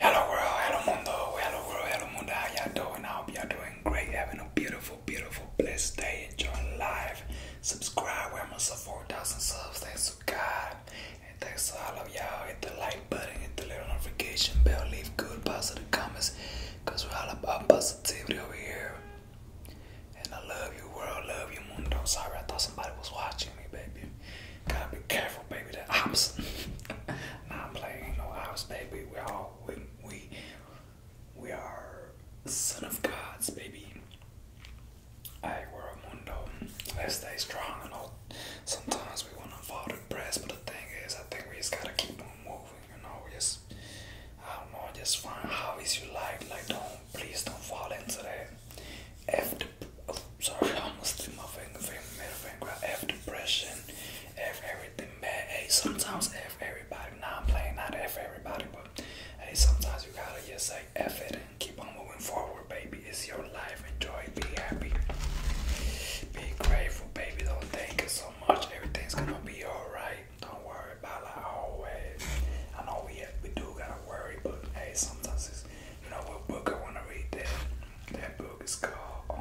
Hello world, hello mundo, hello world, hello mundo. How y'all doing? I hope y'all doing great. Having a beautiful, beautiful, blessed day. Enjoy life. Subscribe. We're almost at 4,000 subs. Thanks to God. And thanks to all of y'all. Hit the like button. Hit the little notification bell. Leave good, positive comments. Because we're all about positivity over here. And I love you world. Love you mundo. I'm Sorry, I thought somebody was watching me, baby. Gotta be careful, baby. The ops. Not playing no ops, baby. We all we we we are son of gods, baby. I we a mundo. Let's stay strong. I sometimes we wanna fall depressed, but the thing is, I think we just gotta keep on moving. You know, we just I don't know. Just find how is your life. Like don't please don't fall into that. F oh, sorry, I almost threw my finger, finger, middle finger out. I have depression, everything bad. Hey, sometimes F everybody. Now I'm playing not F everybody, but hey, sometimes you gotta just say F it and keep on moving forward, baby. It's your life. Enjoy, be happy, be grateful, baby. Don't thank you so much. Everything's gonna be alright. Don't worry about it always. I know we have, we do gotta worry, but hey, sometimes it's you know what book I wanna read that that book is called, um,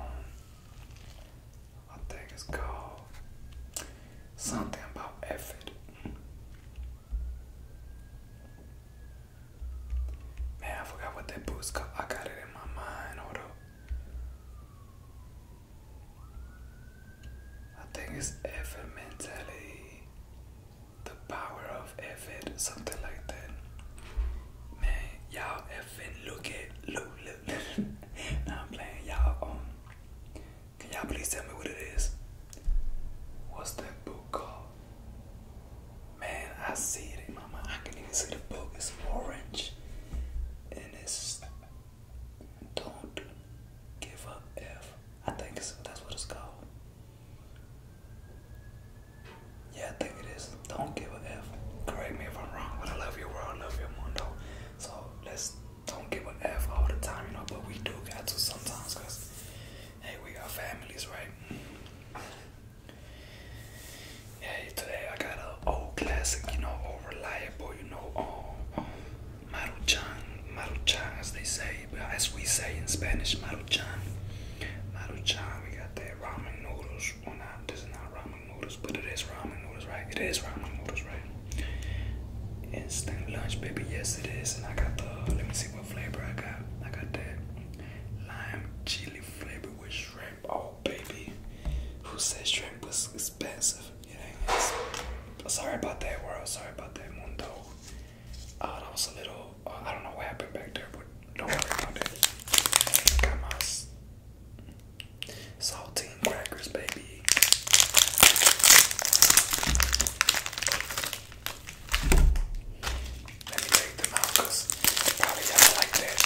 I think it's called something about effort. Man, I forgot what that book's called. I got it in my mind. Hold I think it's effort mentality the power of effort, something like that. Man, y'all effing look at look look. look. now i playing y'all. Um, can y'all please tell me what it is? What's that book called? Man, I see it in my mind. I can even see the book. It's orange, and it's don't give up I think that's what it's called. Yeah, I think it is. Don't give a F. Correct me if I'm wrong, but I love your world, I love your mundo. So let's don't give a F all the time, you know, but we do got to sometimes because, hey, we got families, right? Hey, today I got an old classic, you know, old reliable, you know, um, um, Maruchan, Maruchan, as they say, as we say in Spanish, maruchan. Maruchan, we got that ramen noodles. Well, not, this is not ramen noodles, but it is ramen noodles, right? It is ramen noodles, right? Instant lunch, baby. Yes, it is. And I got the, let me see what flavor I got. I got that lime chili flavor with shrimp. Oh, baby. Who said shrimp was expensive? You know. Sorry about that, world. Sorry about that, mundo. Oh, that was a little, oh, I don't know what happened back there, but don't worry about it. Got my saltine crackers, baby. Let me take them out because y'all like that.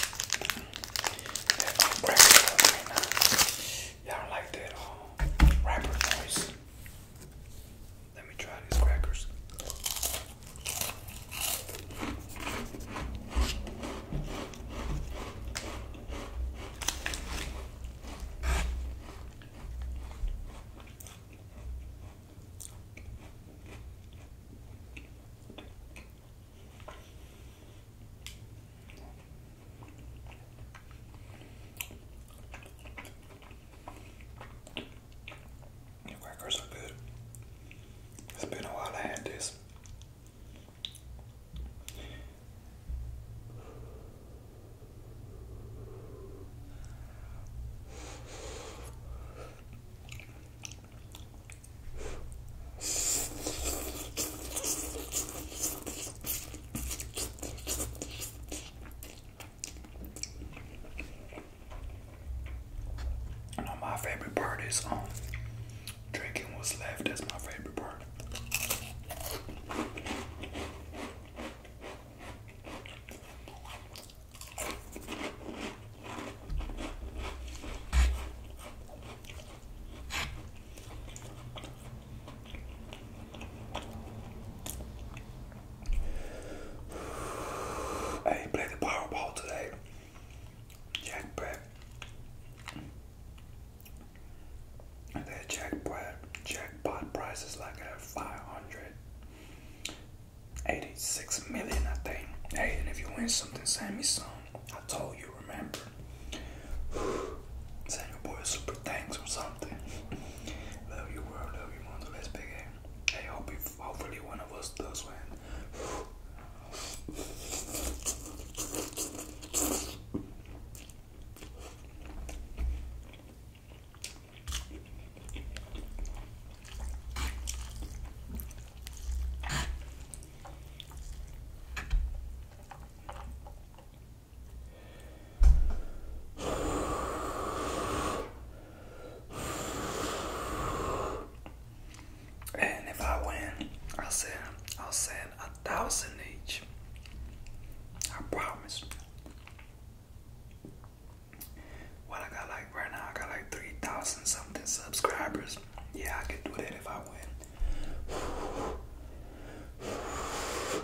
That um, right now. Y'all like that um, rapper noise. Let me try these crackers. Your crackers are good. It's been a while I had this my favorite part is um drinking what's left. That's my favorite part. I did play the Powerball today. Jackpot. And that jackpot jackpot price is like at 586 million, I think. Hey, and if you win something, send me some. I told you, remember. Send your boy super thanks or something. love you, world, love you, mother. Let's big I hope hopefully one of us does win. And if I win, I'll send I'll send a thousand each. I promise. What I got like right now, I got like three thousand something subscribers. Yeah, I can do that if I win.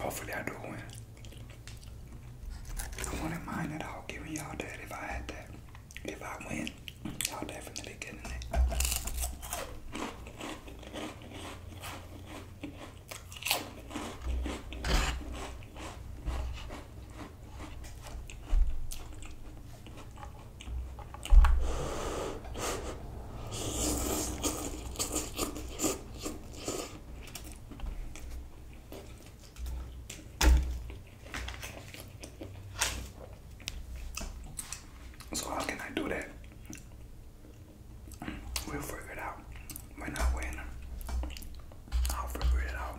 Hopefully, I do win. I wouldn't mind at all giving y'all that if I had that. If I win, I'll definitely get it. So how can I do that? We'll figure it out. We're not I'll figure it out.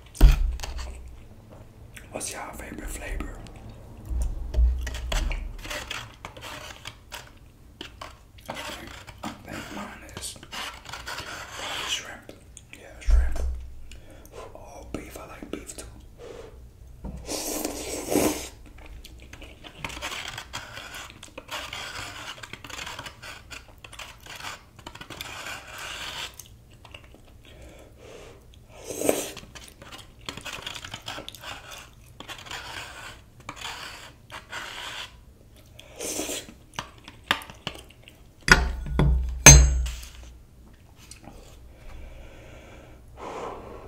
What's your favorite flavor? I I think mine is shrimp. Yeah, shrimp. Oh, beef. I like beef too.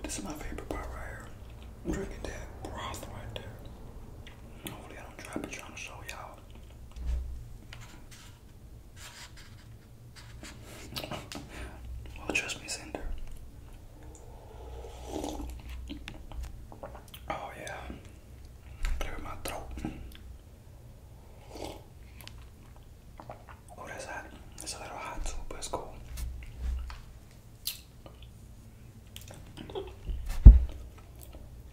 This is my favorite part right here. I'm drinking that broth right there. Hopefully I am not trying to show y'all. well, trust me, Cinder. Oh yeah, clear my throat. Oh, that's It's a little hot but it's cool.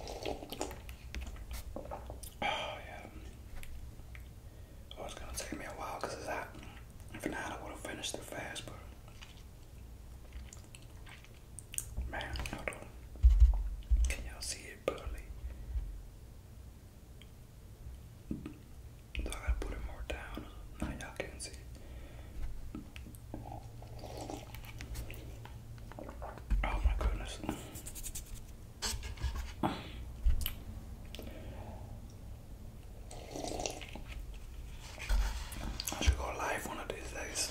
Oh yeah. Oh, it's gonna take me a while because it's hot. If not, I would have finished it fast, but man, hold on. Can y'all see it barely? So I gotta put it more down. Now y'all can see it. Oh my goodness. I should go live one of these days.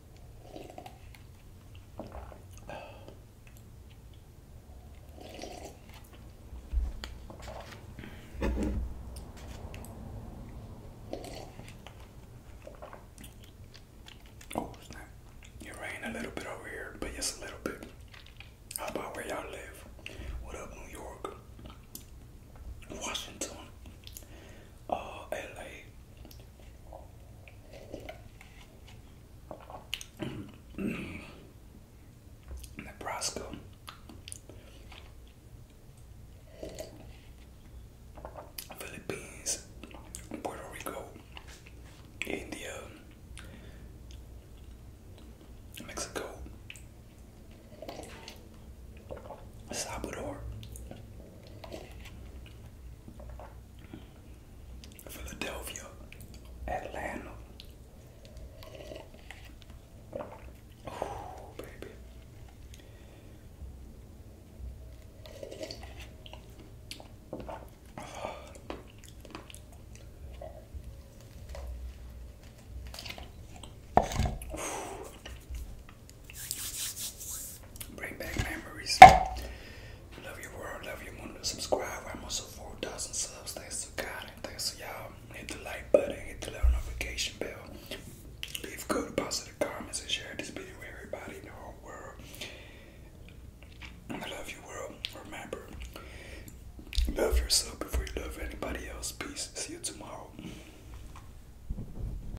Oh snap. It rained a little bit over here, but just a little bit. How about where y'all live? What up, New York? Washington? oh, uh, LA. Nebraska. Philippines, Puerto Rico, India, Mexico, Salvador, Philadelphia, Atlanta. baby. Bring back memories. Love your world. Love your moon. Subscribe. I'm also 4,000 subs. Thanks to God thanks to y'all. Hit the like button. Hit the little notification bell. Leave good positive comments and share this video with everybody in the whole world. I love you, world. Remember, love yourself before you love anybody else. Peace. See you tomorrow.